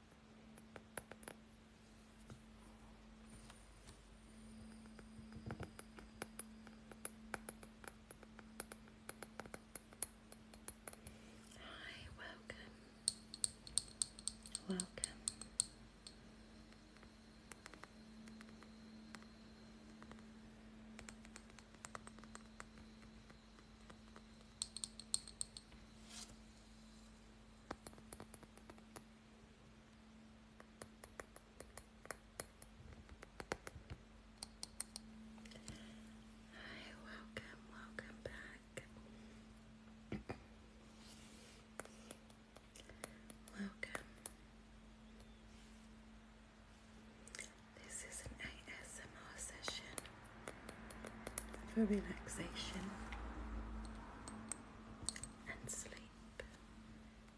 Hi, welcome. Welcome. Hi, welcome, welcome back. welcome. This is an ASMR session for relaxation and sleep,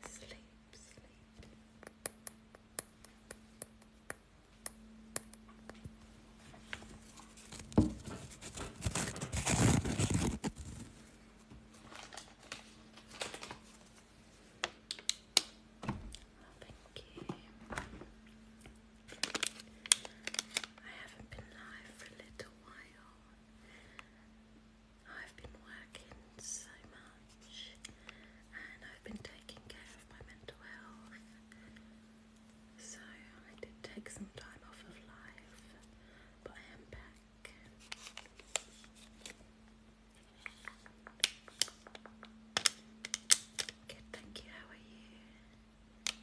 sleep, sleep. Oh, I haven't been live for a little while. I've been working so much and I've been taking care of my mental health. So I did take some time off of life, but I am back. Good, thank you. How are you? Hi,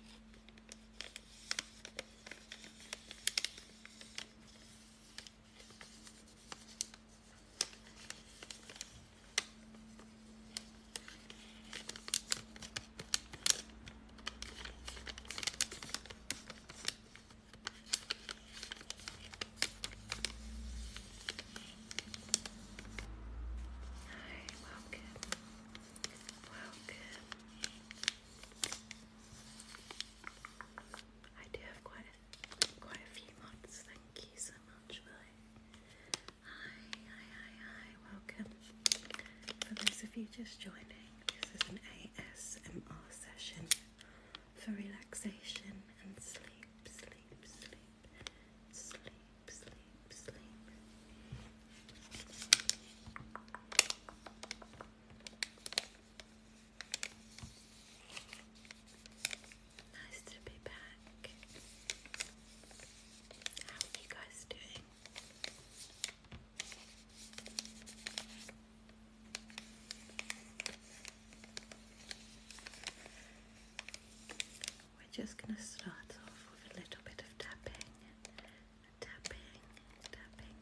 welcome. Wow, I do have quite quite a few mods. Thank you so much, Willie. Hi, hi, hi, hi. Welcome. For those of you just joining, this is an ASMR session for relaxation and sleep, sleep, sleep sleep, sleep, sleep. Nice to be back. How are you guys doing? we're just going to start off with a little bit of tapping, tapping, tapping.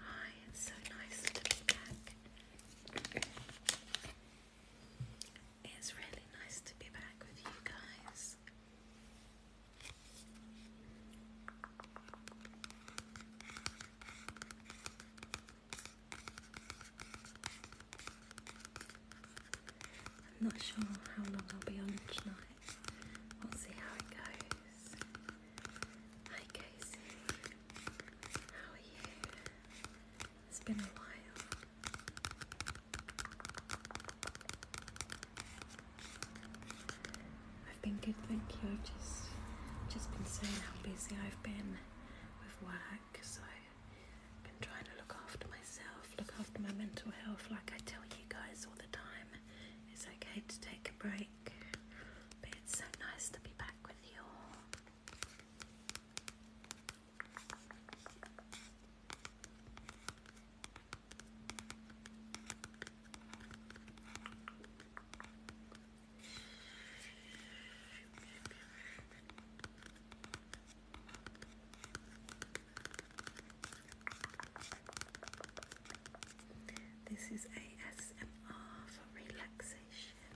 Hi, it's so nice to be back. It's really nice to be back with you guys. I'm not sure how long I'll be on tonight. night. We'll see how it goes. Hi Casey, how are you? It's been a while. I've been good, thank you. I've just just been saying how busy I've been with work, so been trying to look after myself, look after my mental health, like I tell you guys all the time. It's okay to take a break, but it's so nice to be back with you all. This is ASMR for relaxation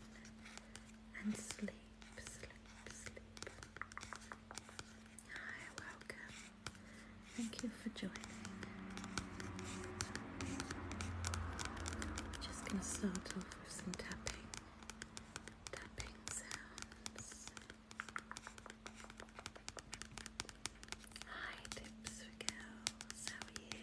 and sleep, Hi, welcome. Thank you for joining. Just going to start off with some tapping, tapping sounds. Hi, tips for How are you?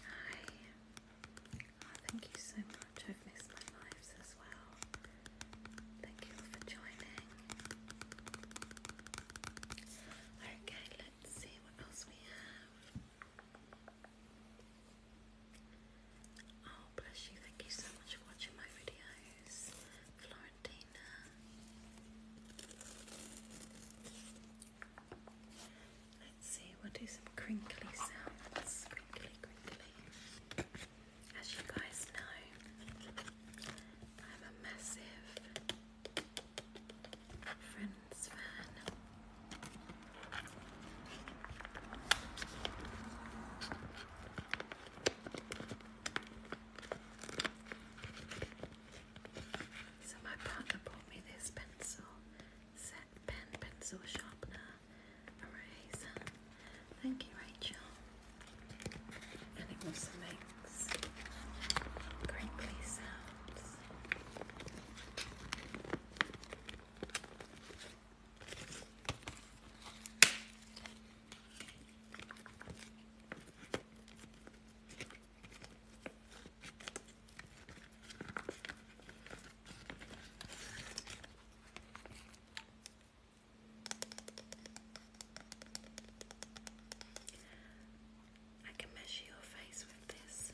Hi. Oh, thank you so much. I've missed my lives as well. Thank you all for joining. Okay, Let's see what else we have. Oh, bless you. Thank you so much for watching my videos, Florentina. Let's see, we do some crinkly sounds. Crinkly, crinkly. As you guys know, I'm a massive so my partner bought me this pencil set pencil sharpener eraser. Thank you, Rachel. And it also makes sounds, crinkly sounds. I can measure your face with this.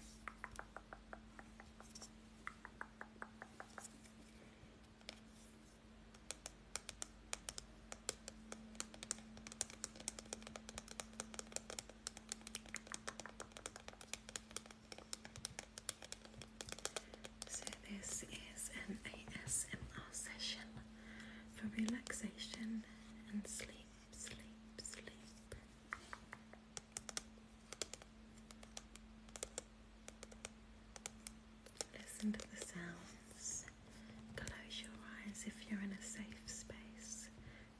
So, this is an ASMR session for relaxation and sleep sleep, sleep. Listen to the sounds. Close your eyes if you're in a safe space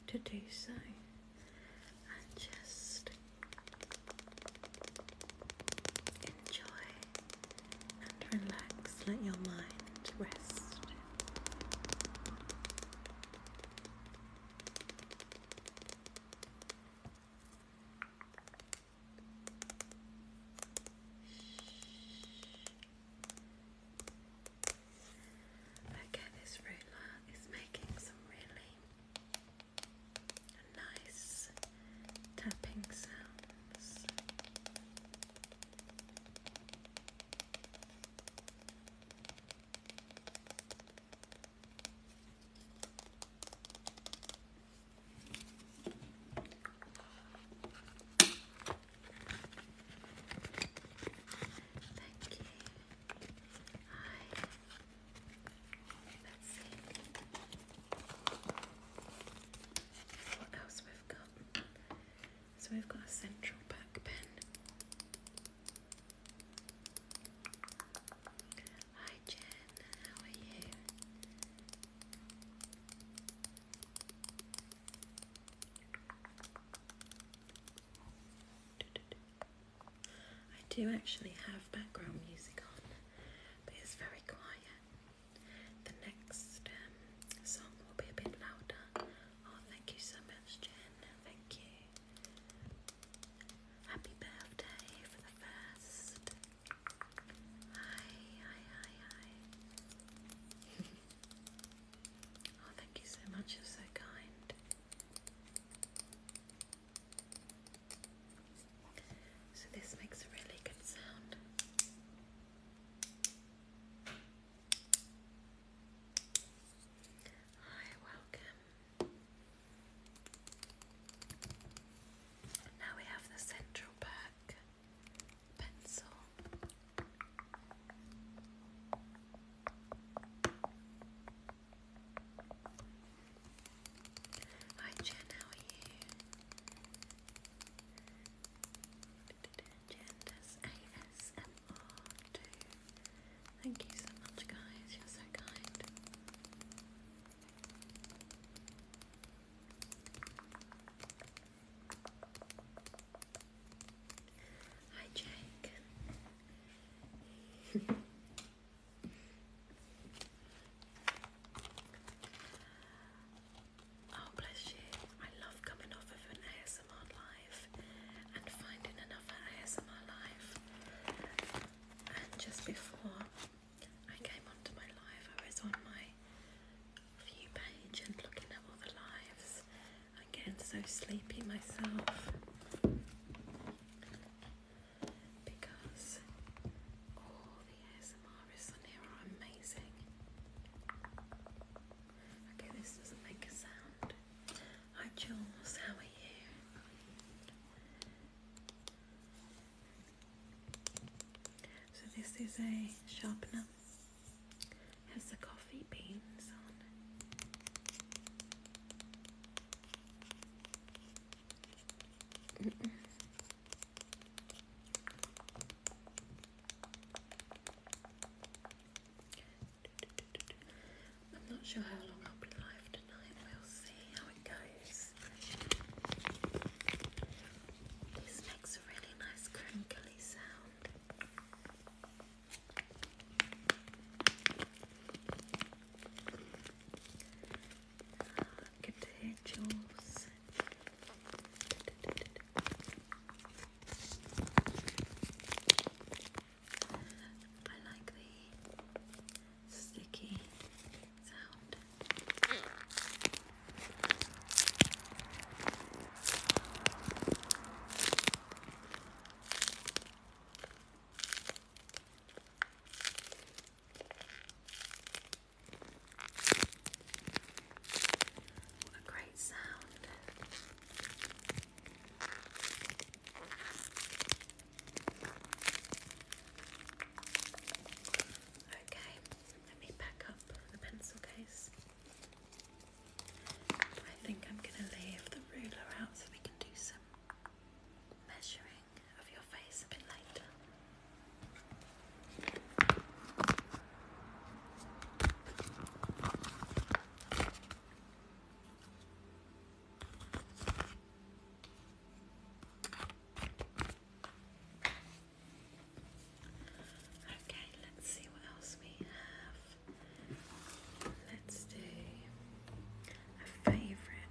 to do so. And just enjoy and relax. Let your mind rest. Okay, this ruler is making some really nice tapping sounds. Thank you. Hi. Let's see what else we've got. So we've got a central back pen. Hi Jen, how are you? I do actually have background music on, but it's very quiet. The next um, song will be a bit louder. Oh, thank you so much, Jen. Thank you. Happy birthday for the first. Hi, hi, hi, hi. oh, thank you so much. You're so kind. So, this makes a really good sound. Hi, welcome. Now we have the central perk pencil. Hi Jen, how are you? Thank you so much, guys. You're so kind. Hi, Jake. Oh, bless you. I love coming off of an ASMR live and finding another ASMR live. And just before I came onto my live, I was on my view page and looking at all the lives. I'm getting so sleepy myself because all the ASMRs on here are amazing. Okay, this doesn't make a sound. Hi Jules, how are you? So this is a sharpener. Has the coffee beans on. I'm not sure how long I'll be live tonight. We'll see how it goes. This makes a really nice crinkly sound. good ah, to hear Jules. I like the sticky sound. What a great sound. Okay, let me pack up the pencil case. I think I'm going to leave the ruler out so we can do some measuring of your face a bit later. Okay, let's see what else we have. Let's do a favourite.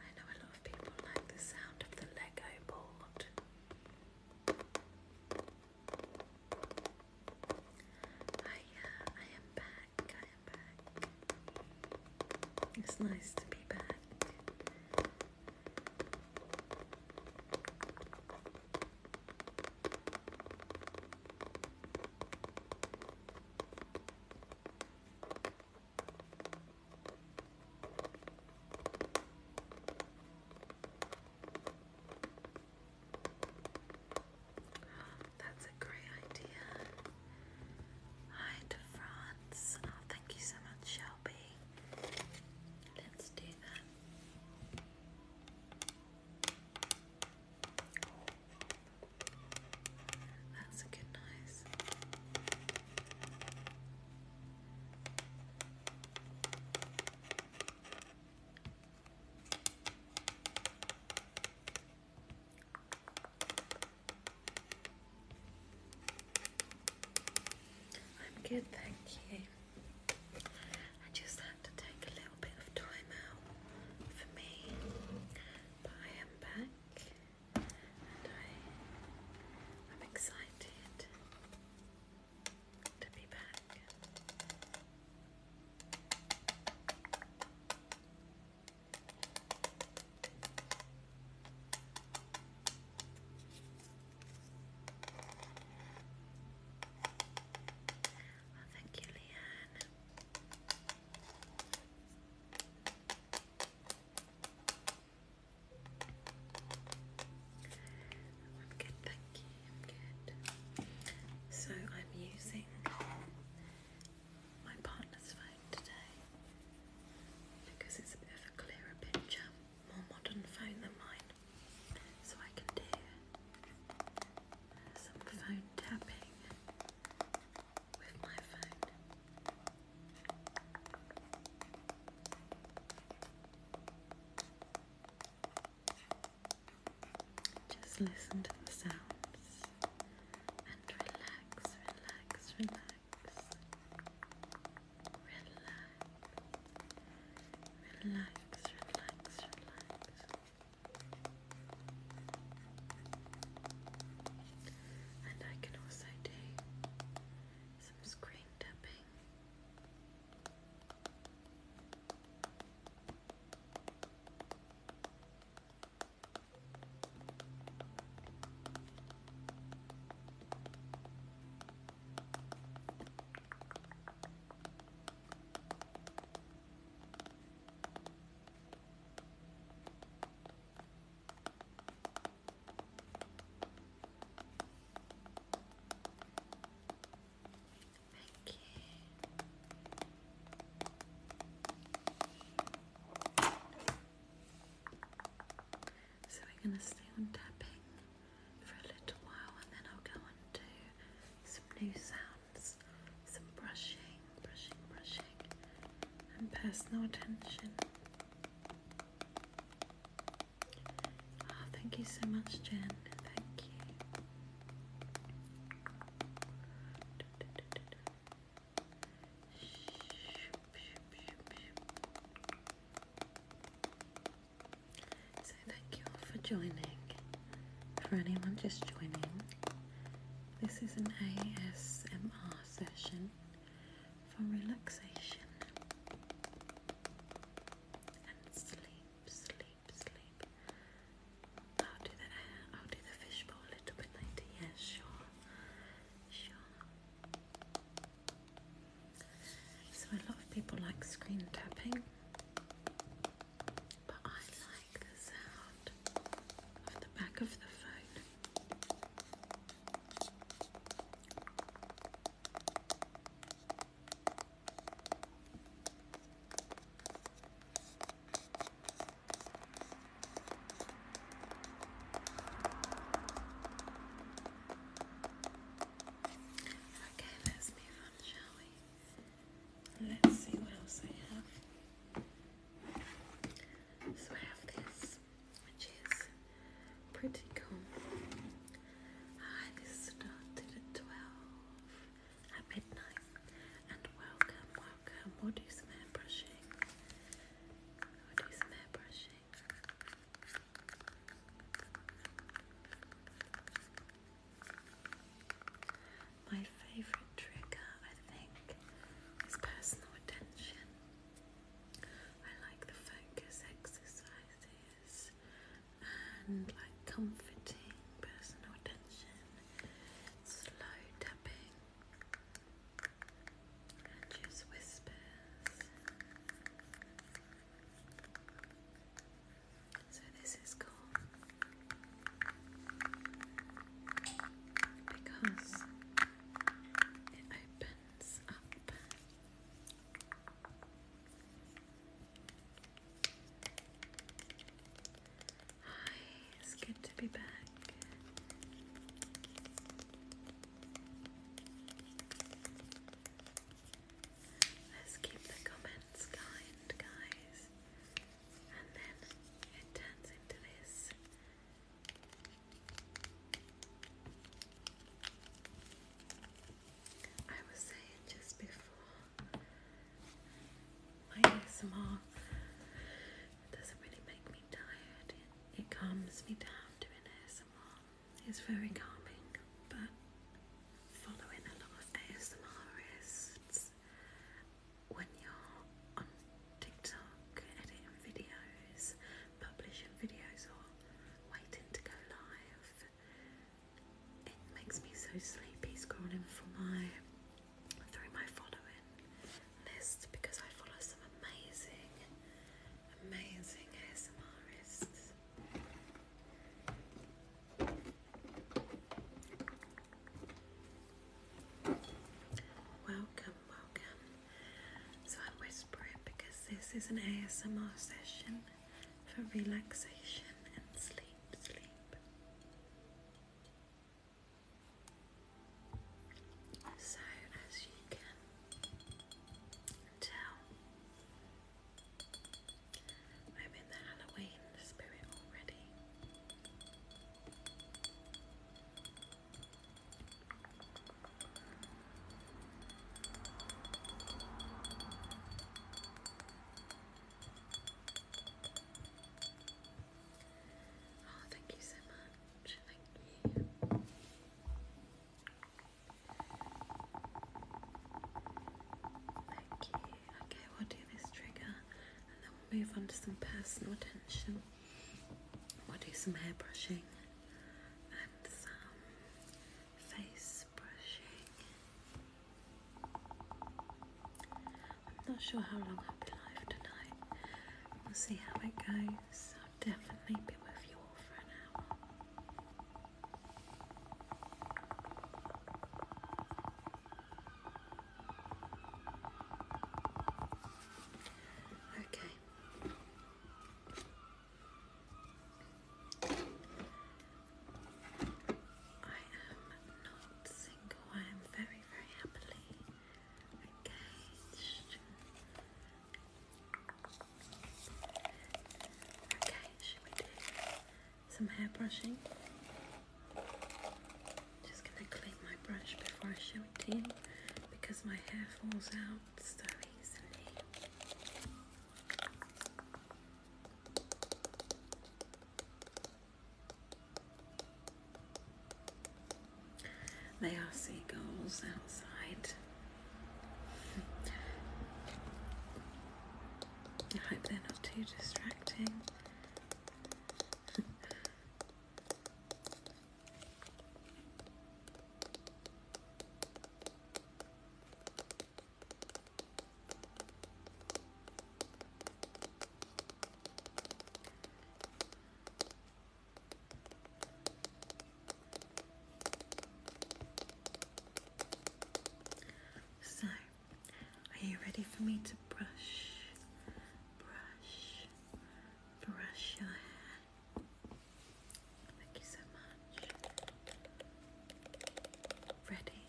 I know a lot of people like the sound of the Lego board. I, oh, I am back, I am back. It's nice to be back. That's a great idea. Hi to France. Oh, thank you so much, Shelby. Let's do that. That's a good noise. I'm good, thank you. I just had to take a little bit of time out for me, but I am back and I, I'm excited to be back. Oh, thank you, Leanne. I'm good, thank you. I'm good. So I'm using my partner's phone today because it's a bit of a clearer picture, more modern phone than mine so I can do some phone tapping with my phone. Just listen to the sounds and relax, relax, relax. Relax. Relax, relax, relax. And I can also do some screen tapping. Thank you. So we're going to stay on tapping for a little while and then I'll go and do some new sounds, some brushing, brushing, brushing, and personal attention. Oh, thank you so much, Jen. Thank you. So thank you all for joining. For anyone just joining, this is an ASMR session for relaxation and sleep, sleep, sleep. I'll do the I'll do the fishbowl a little bit later. Yes, sure, sure. So a lot of people like screen tapping but I like the sound of the back of the phone. Okay, let's move on, shall we? Let's see what else I have. So I have this, which is pretty cool. Hi, started at 12 at midnight. And welcome, welcome. we hair brushing. we hair brushing. My favourite trigger, I think, is personal attention. I like the focus exercises and like comforting personal attention, slow tapping, and just whispers. So this is cool because it opens up. Hi, it's good to be back. Let's keep the comments kind, guys. And then it turns into this. I was saying just before my doesn't really make me tired. It, calms me down doing ASMR. It's very calming, but following a lot of ASMRists when you're on TikTok editing videos, publishing videos, or waiting to go live. It makes me so sleepy scrolling for my through my following list because I follow some amazing, amazing ASMRists. Welcome, welcome. So I whisper it because this is an ASMR session for relaxation and sleep, sleep. So as you can tell, I'm in the Halloween spirit already. Oh, thank you so much. Thank Okay, we'll do this trigger and then we'll move on to some personal attention. We'll do some hair brushing and some face brushing. I'm not sure how long I'll be live tonight. We'll see how it goes. I'll definitely be with you all for an hour. Okay. I am not single. I am very, very happily engaged. Okay, should we do some hair brushing. Just gonna clean my brush before I show it to you because my hair falls out so easily. They are seagulls outside. I hope they're not too distracting. so are you ready for me to brush, brush, brush your hair? Thank you so much. Ready?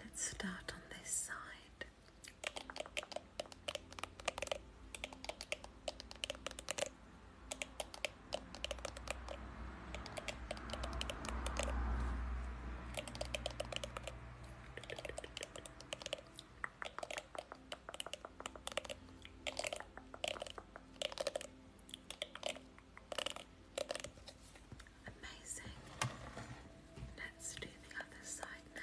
Let's start on this side. Amazing. Let's do the other side now.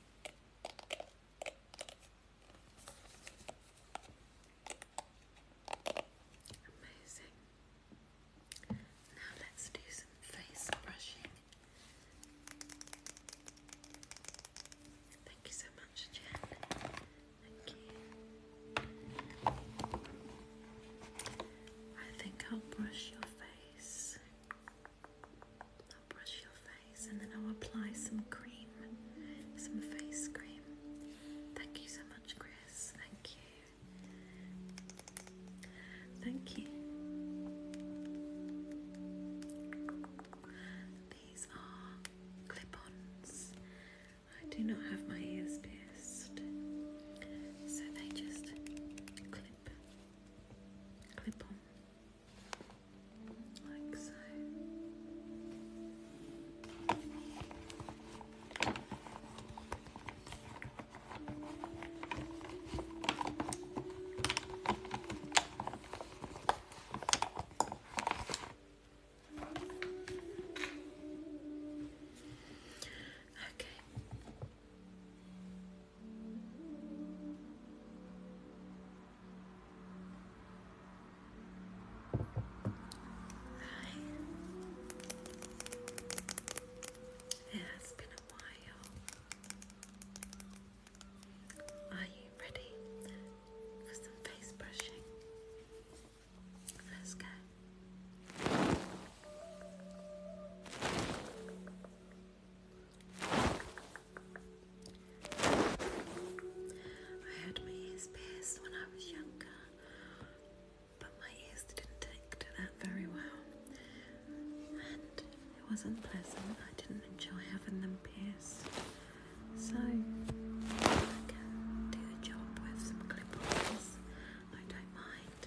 Amazing. Now let's do some face brushing. Thank you so much, Jen. Thank you. I think I'll brush your face. I'll brush your face and then I'll apply some cream, some face cream. Thank you so much, Chris. Thank you. Thank you. These are clip ons. I do not have my ears pierced, so they just clip, clip on like so. Okay, Hi. It has been a while. Are you ready for some face brushing? Let's go. I had my ears pierced when I was younger, but my ears didn't take to that very well, and it wasn't pleasant. I didn't enjoy having them pierced, so I can do a job with some clip I don't mind.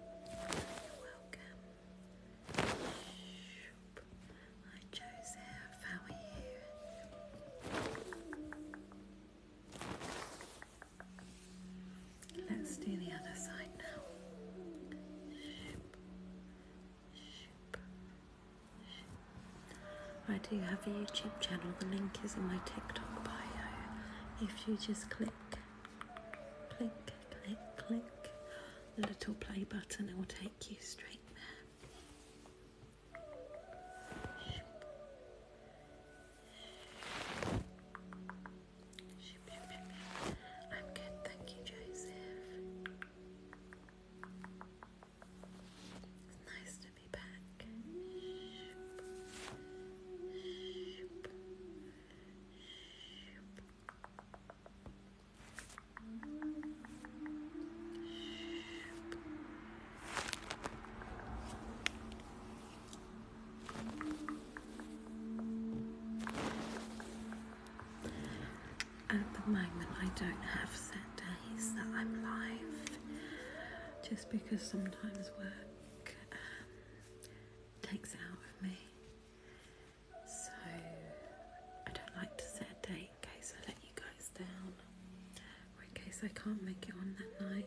Hi Joseph, how are you? Let's do the other side now. I do have a YouTube channel, the link is in my TikTok bio. If you just click Click, click, click. The little play button, it will take you straight there. I'm good, thank you, Joseph. It's nice to be back. At the moment, I don't have set days that I'm live just because sometimes work um, takes it out of me. So I don't like to set a date in case I let you guys down or in case I can't make it on that night.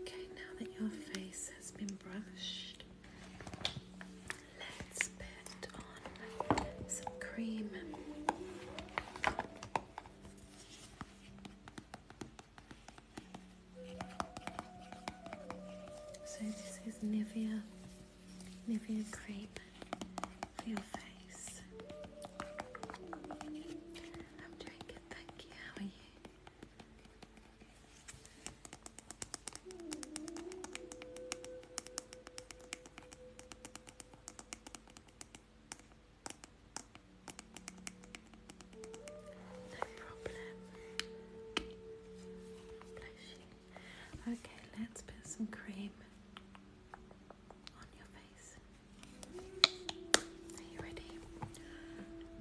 Okay, now that your face has been brushed, let's put on some cream. So this is Nivea, Nivea cream for your face. I'm doing thank you. How are you? No problem. Okay, let's put some cream on your face. Are you ready?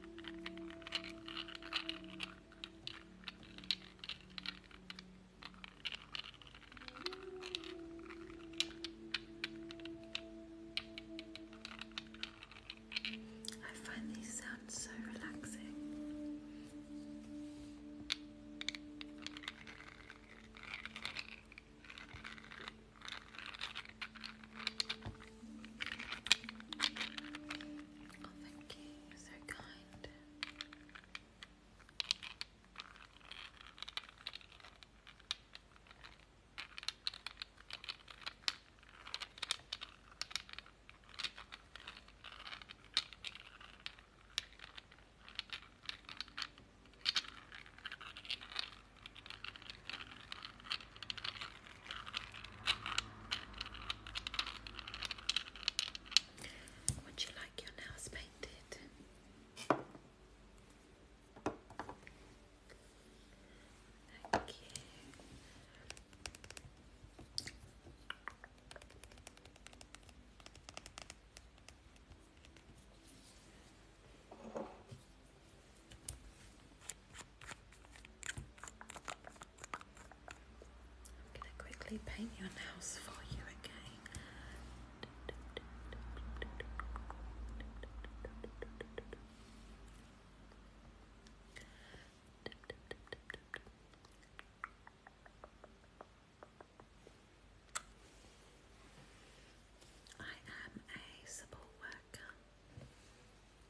I find these sounds so relaxing. Oh, thank you. You're so kind. Would you like your nails painted? Thank you. I'm going to quickly paint your nails for you again. I am a support worker.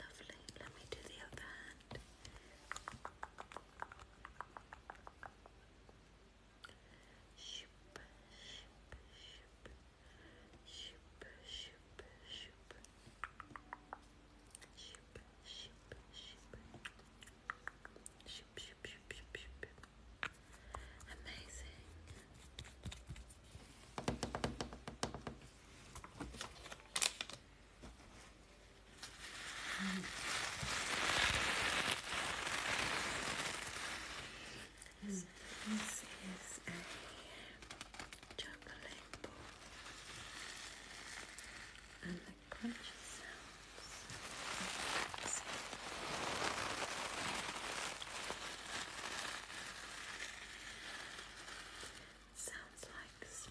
Lovely. Let me do the other hand. Shoop, shoop, shoop, shoop, shoop, shoop, shoop, shoop, shoop, shoop, shoop, shoop, shoop. Amazing. Mm. So this is a chocolate ball and the crunchy Sounds like snow.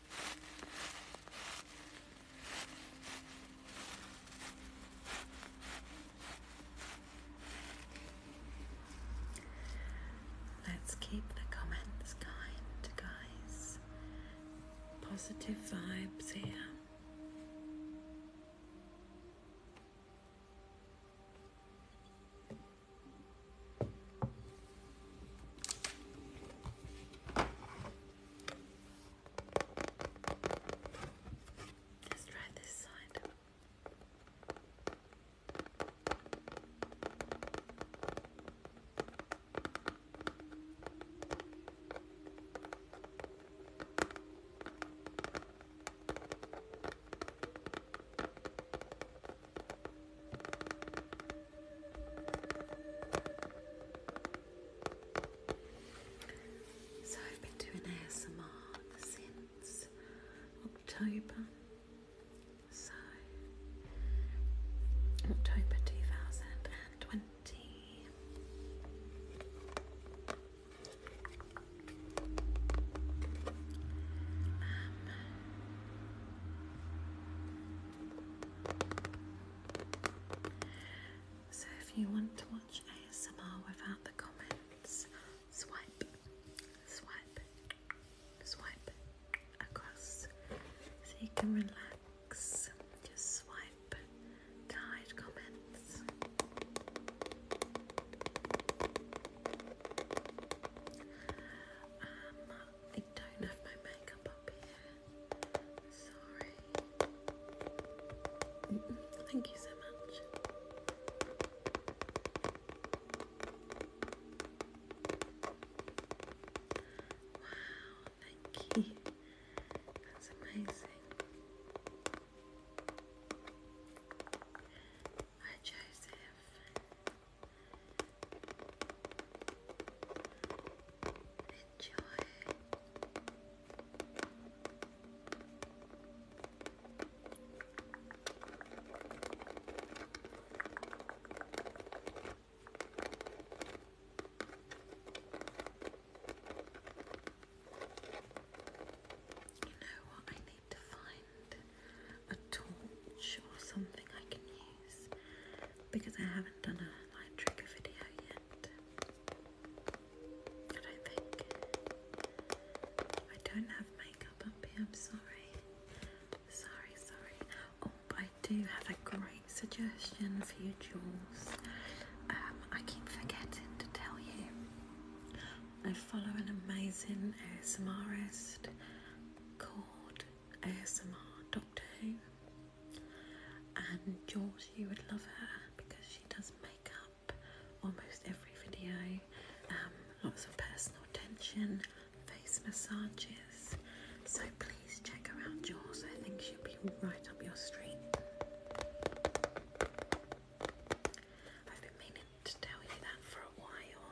Let's keep the comments kind, guys. Positive vibes here. Let's try this side. So I've been doing ASMR since October. So October 2020. Um, so if you want to watch ASMR without the comments, swipe, swipe, swipe across so you can relax. Just swipe hide comments. Um, I don't have my makeup up Sorry. Thank you so much. Wow, thank you. That's amazing. Hi, Joseph. Enjoy. You know what? I need to find a torch or something I can use because I haven't done a line trigger video yet. I don't think. I don't have makeup up here, I'm sorry. Sorry, sorry. Oh, but I do have a great suggestion for your jewels. Um, I keep forgetting to tell you. I follow an amazing ASMRist called ASMR Doctor Who and George, you would love her because she does makeup almost every video, um, lots of personal attention, face massages. So please check around, out, George. I think she'll be right up your street. I've been meaning to tell you that for a while.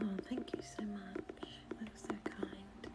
Oh, thank you so much. That's so kind.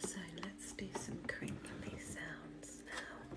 So let's do some crinkly sounds now.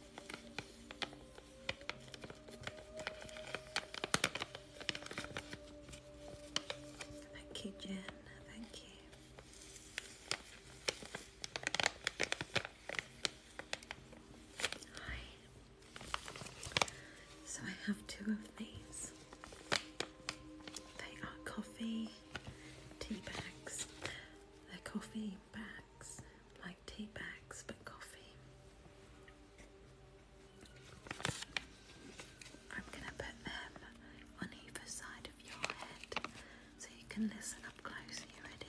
Thank you, Jen. Thank you. So I have two of these. They are coffee tea bags. They're coffee bags like tea bags, but coffee. I'm going to put them on either side of your head so you can listen up close. you ready?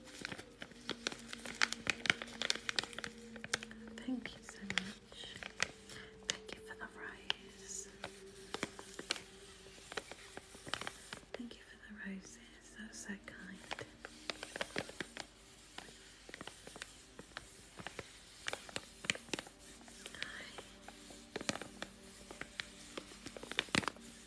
Thank you so much. Thank you for the rose. Thank you for the roses. That so kind.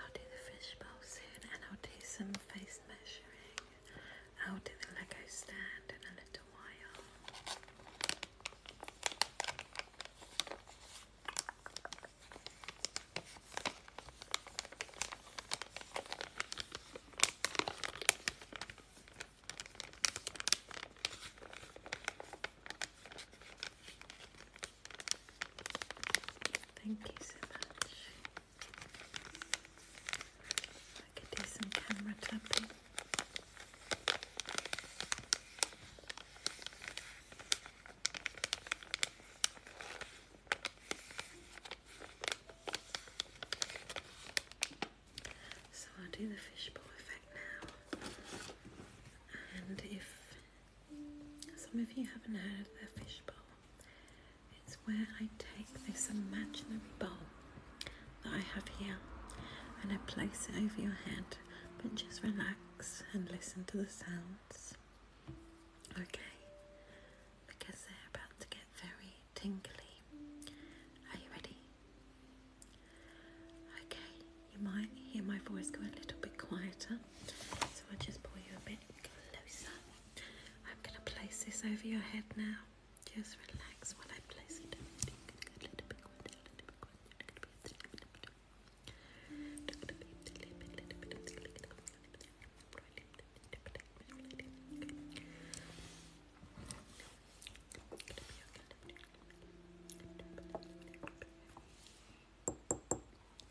I'll do the fishbowl soon and I'll do some face measuring. I'll do the Lego stand in a little while. Thank you so much. I could do some camera tapping. So I'll do the fishbowl effect now, and if some of you haven't heard of the fish bowl. It's where I take this imaginary bowl that I have here and I place it over your head, but just relax and listen to the sounds. Okay, because they're about to get very tingly. Are you ready? Okay, you might hear my voice go a little bit quieter. So i just pull you a bit closer. I'm going to place this over your head now. Just relax while I place it.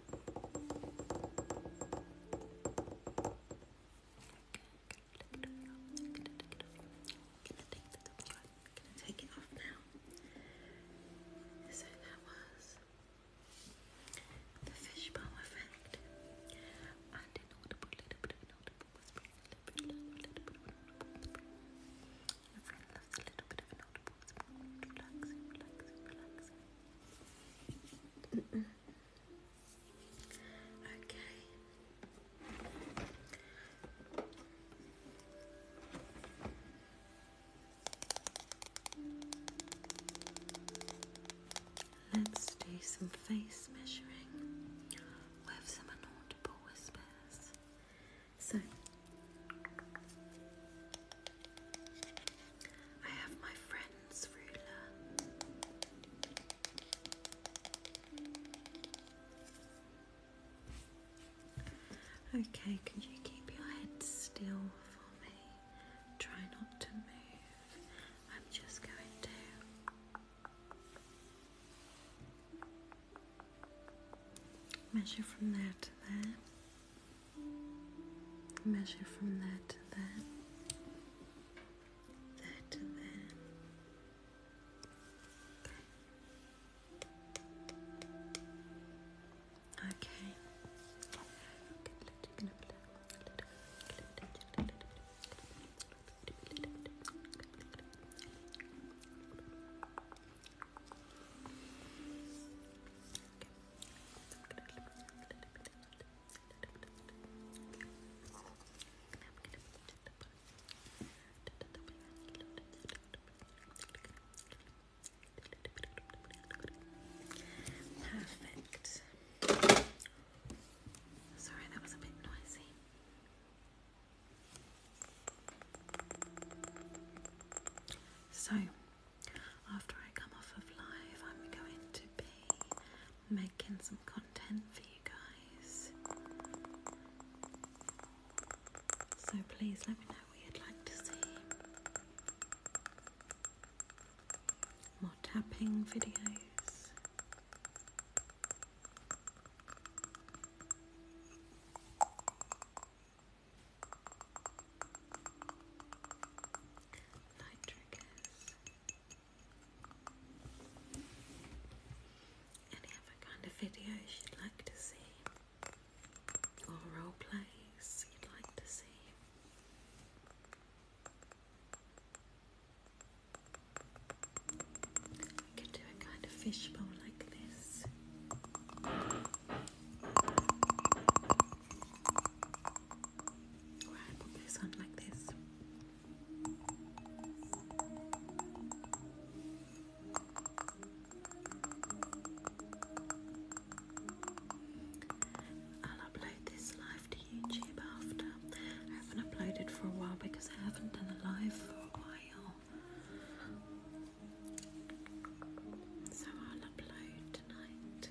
gonna take it off now. So that was the fishbowl effect. And in order to put a little bit of an audible whispering, a little bit of a little bit of an audible whispering. Your friend loves a little bit of an audible whispering. Relaxing, relaxing, relaxing. Let's do some face measuring with some inaudible whispers. So. I have my friend's ruler. Okay, can you keep your head still for me? Try not to move. I'm just going to. Measure from there to there. Measure from that to that, that to that. Okay. Perfect. Sorry, that was a bit noisy. So, after I come off of live, I'm going to be making some content for you guys. So please let me know what you'd like to see. More tapping videos nitric Any other kind of videos you'd like to see, or role plays you'd like to see? We could do a kind of fishbowl like this. I'll upload this live to YouTube after. I haven't uploaded for a while because I haven't done a live for a while. So I'll upload tonight.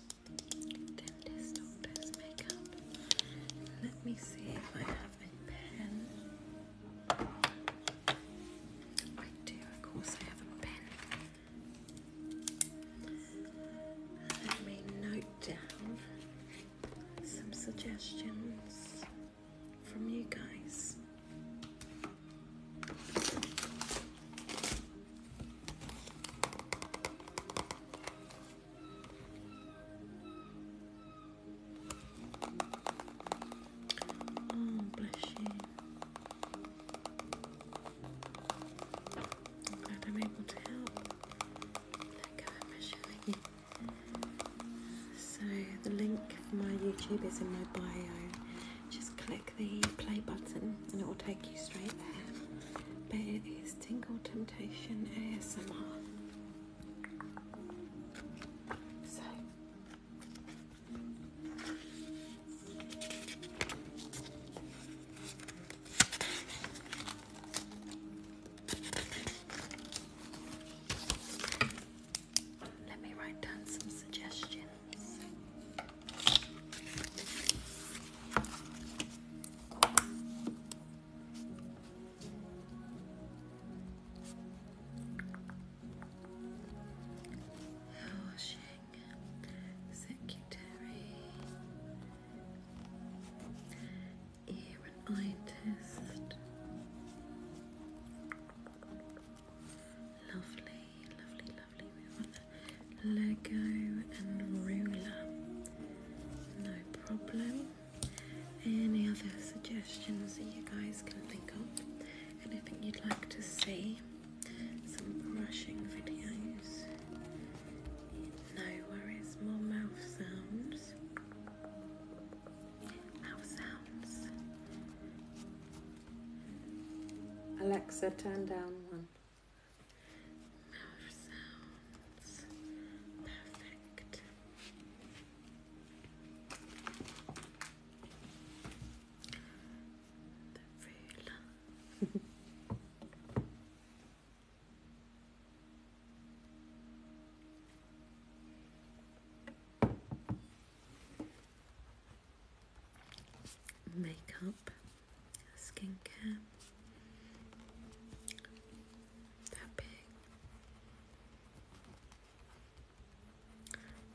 Dentist Makeup. Let me see if I have a pen. I do, of course, I have a pen. Let me note down some suggestions from you guys. Oh, bless you. I'm glad I'm able to help. So, the link for my YouTube is in my bio. Just click the play button and it will take you straight there. But it is Tingle Temptation ASMR. So let me write down some suggestions. Washing secretary ear and eye test. Lovely, lovely, lovely. Lego and ruler. No problem. Any other suggestions that you guys can think of? Anything you'd like to see? Some brushing videos. No worries, more mouth sounds. Mouth sounds. Alexa, turn down one. Now it sounds perfect. The ruler makeup, skincare, tapping,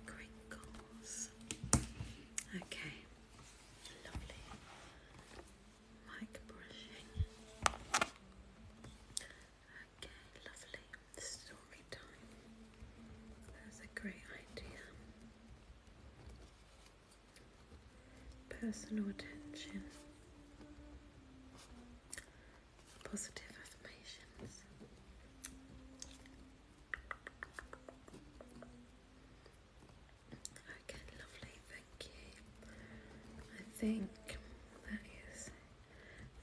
crinkles. Okay, lovely mic brushing. Okay, lovely story time. That's a great idea personal attention, positive affirmations. Okay, lovely, thank you. I think that is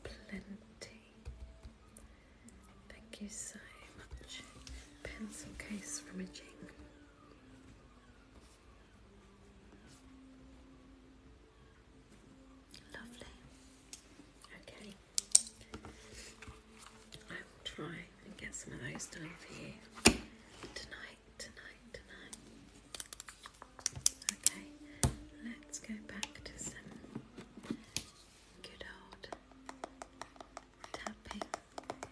plenty Thank you so much. Pencil case from a jing. Lovely. Okay. I will try and get some of those done for you tonight, tonight, tonight. Okay, let's go back to some good old tapping. Haircut.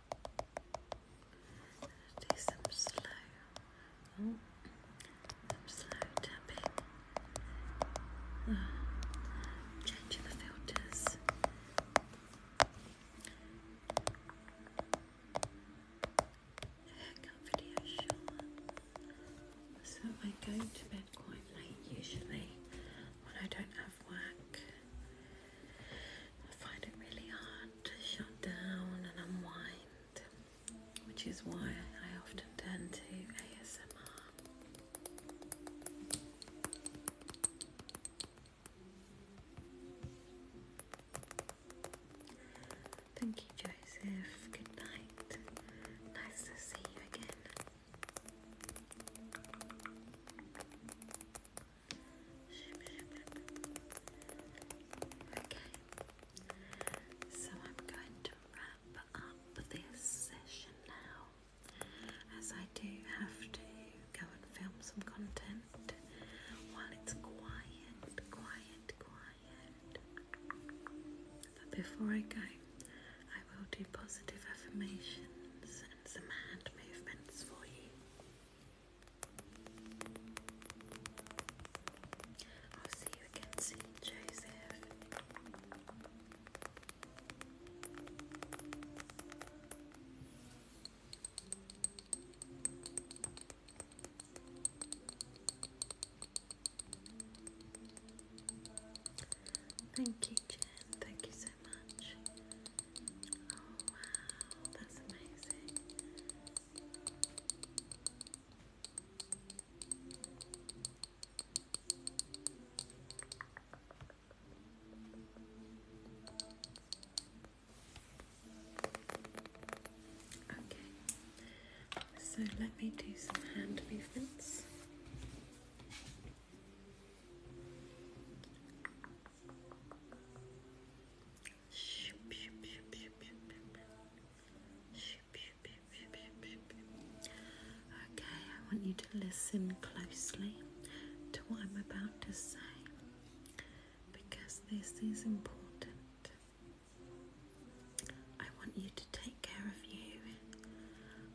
Do some slow, some slow tapping. Oh, the filters. Haircut video So I go to bed quite late usually when I don't have work. I find it really hard to shut down and unwind, which is why I often turn to ASMR. Thank you, Joseph. Good night. Nice to see you again. Okay, so I'm going to wrap up this session now as I do have to go and film some content while it's quiet, quiet, quiet. But before I go, I will do positive affirmations and some hand movements for you. I'll see you again soon, Joseph. Thank you, Jen. Thank you so much. Okay, so let me do some hand movements. Okay, I want you to listen closely to what I'm about to say because this is important. I want you to take care of you.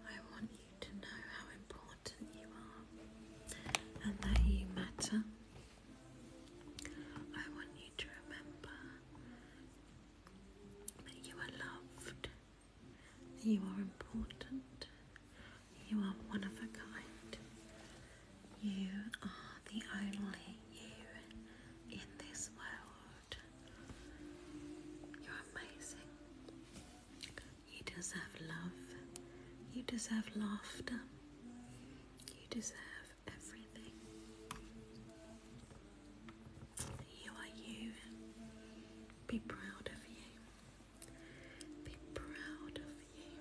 I want you to know how important you are and that you matter I want you to remember that you are loved, you are important, you are one of a kind, you are the only you in this world. You're amazing. You deserve love, you deserve laughter. You deserve everything. You are you. Be proud of you. Be proud of you.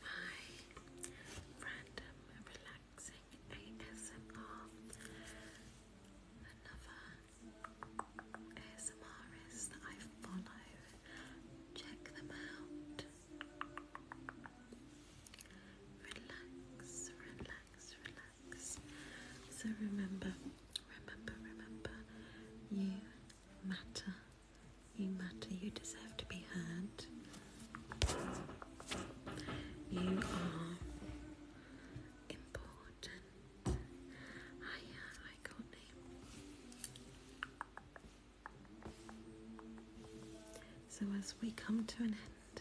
Hi, random relaxing ASMR. Another ASMRists that I follow. Check them out. Relax, relax, relax. So remember, remember, remember, you matter. You matter. You deserve to be heard. You are important. So as we come to an end,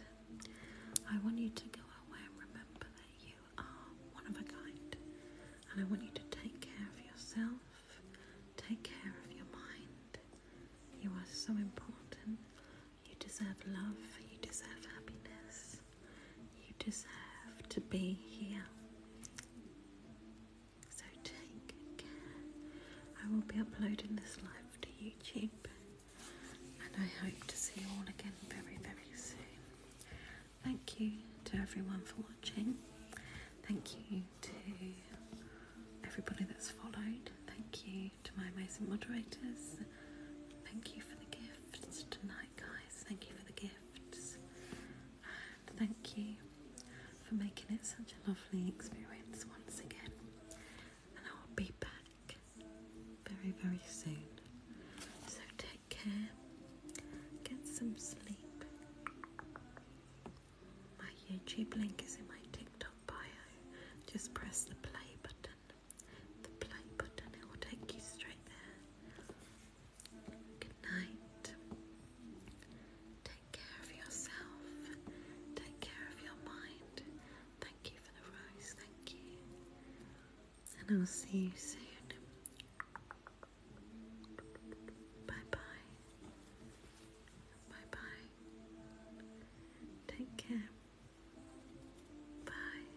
I want you to go away and remember that you are one of a kind. And I want you to take care of yourself, take care of your mind. You are so important. You deserve love, you deserve happiness. You deserve to be here. So take care. I will be uploading this live to YouTube and I hope to see you all again very, very soon. Thank you to everyone for watching. Thank you to everybody that's followed. Thank you to my amazing moderators. Thank you for the gifts tonight guys, thank you for the gifts, thank you for making it such a lovely experience once again. And I will be back very, very soon. So take care, get some sleep. My YouTube link is in my TikTok bio. Just press the play button. The play button, it will take you straight there. Good night. Take care of yourself. Take care of your mind. Thank you for the rose. Thank you. And I'll see you soon. Bye bye. Bye bye. Take care. Bye.